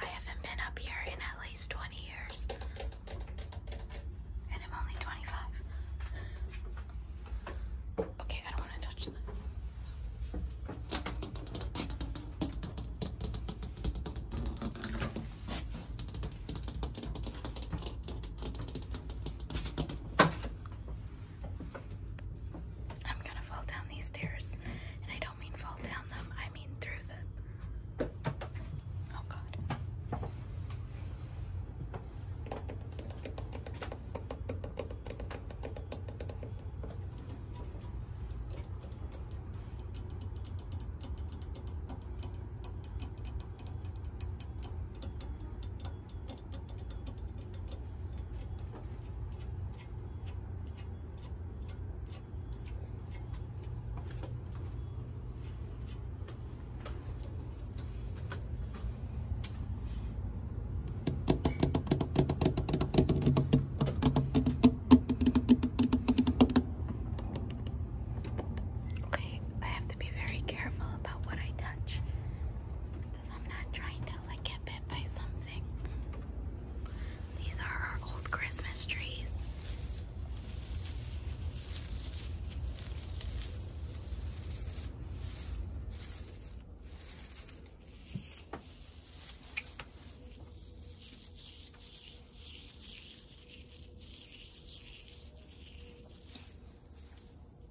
I haven't been up here in at least 20 years. And I'm only 25. Okay, I don't want to touch that. I'm gonna fall down these stairs. And I don't mean fall down them, I mean through them. Oh god. Okay, I have to be very careful about what I touch. I'm not trying to like get bit by something. These are our old Christmas trees.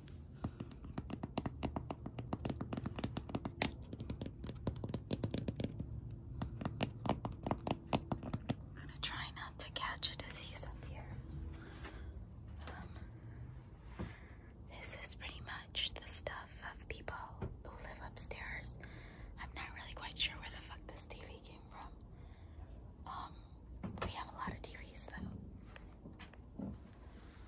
I'm gonna try not to catch a disease up here. Um, this is pretty much the stuff of people who live upstairs. I'm not really quite sure where the fuck this TV came from. Um, we have a lot of TVs though.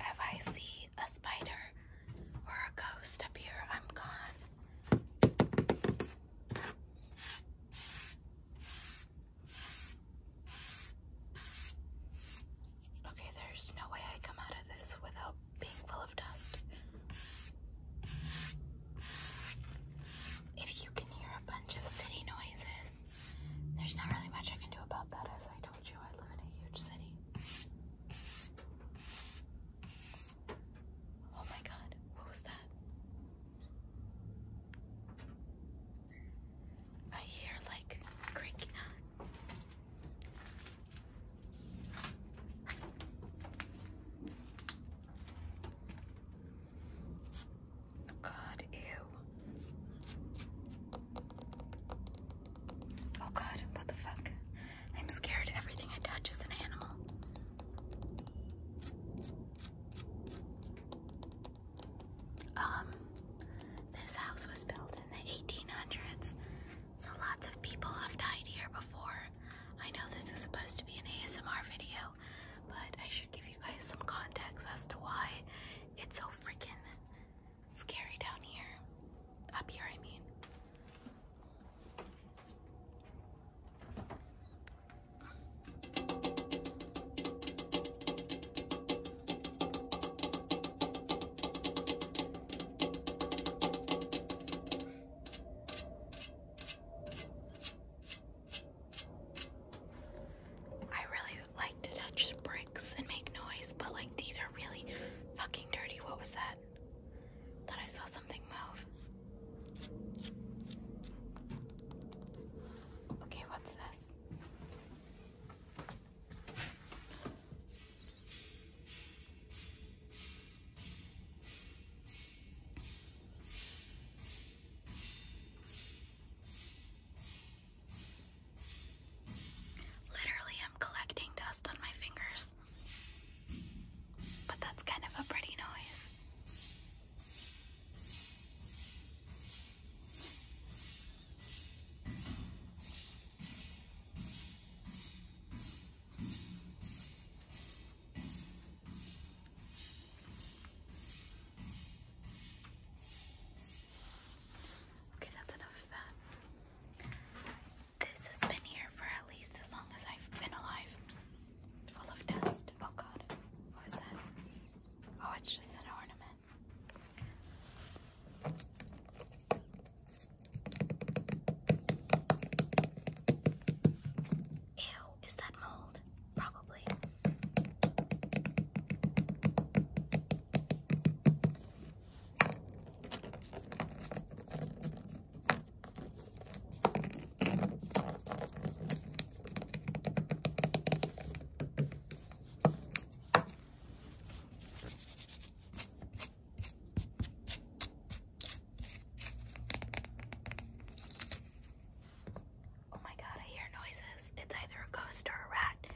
If I see a spider or a ghost up here, I'm gone. Okay, there's no way I come out of this without being full of dust. If you can hear a bunch of city noises. There's not really much I can do about that, as I told you, I live in a huge city. Oh my god, what was that? I hear like creaking. God, ew. Oh God, what the fuck? I'm scared everything I touch is an animal. Um, this house was built in the 1800s, so lots of people have died here before. I know this is supposed to be an ASMR video, but I should give you guys some context as to why it's so freaking scary down here. Up here, I mean. I really like to touch bricks and make noise, but like these are really fucking dirty. What was that? Thought I saw something move. Okay, what's this? Literally, I'm collecting dust on my fingers. But that's kind of a pretty noise. Okay, that's enough of that. This has been here for at least as long as I've been alive. Full of dust. Oh god. What was that? Oh, it's just an ornament. Ew, is that mold? Probably. Oh my god, I hear noises. It's either a ghost or a rat. And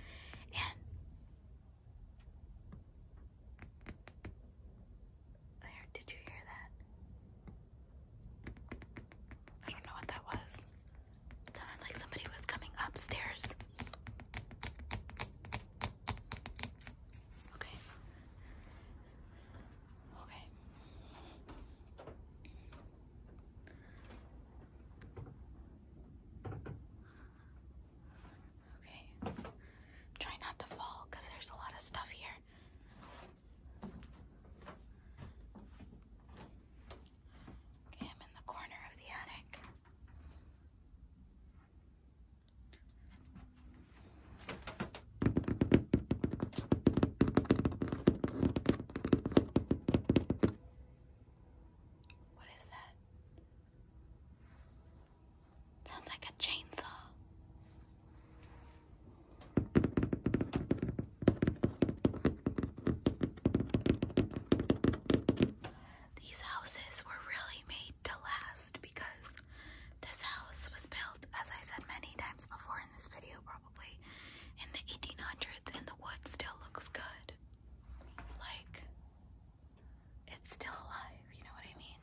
I heard, did you hear that? I don't know what that was. sounded like somebody was coming upstairs. Okay. Okay. Okay. Try not to fall because there's a lot of stuff here. Okay, I'm in the corner of the attic. What is that? Sounds like a chainsaw. These houses were really made to last because this house was built, as I said many times before in this video probably, in the 1800s and the wood still looks good. Like, it's still alive, you know what I mean?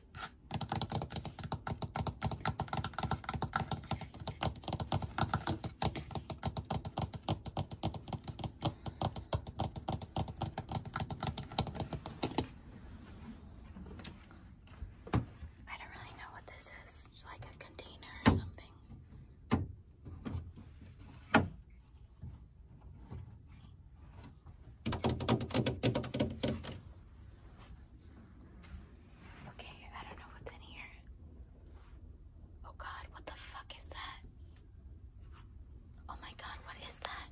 I don't really know what this is. It's like a container or something. Okay, I don't know what's in here. Oh god, what the fuck is that? Oh my god, what is that?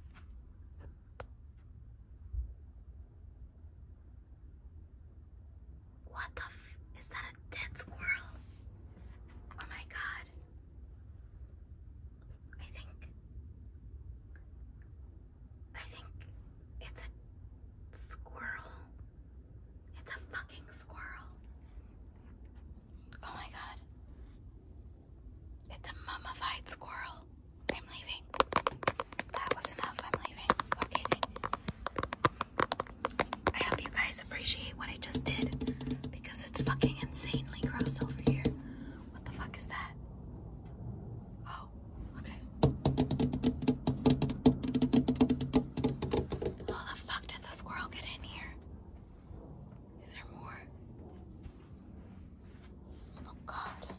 What the is that a dead squirrel? Oh my god. I think I think it's a squirrel. It's a fucking squirrel. Oh my god. It's a mummified squirrel. I'm leaving. That was enough. I'm leaving. Okay. I hope you guys appreciate what I just did because it's fucking insanely gross over here. What the fuck is that? Oh, okay. How the fuck did the squirrel get in here? Is there more? Oh god.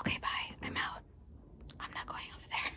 Okay, bye. I'm out. I'm not going over there.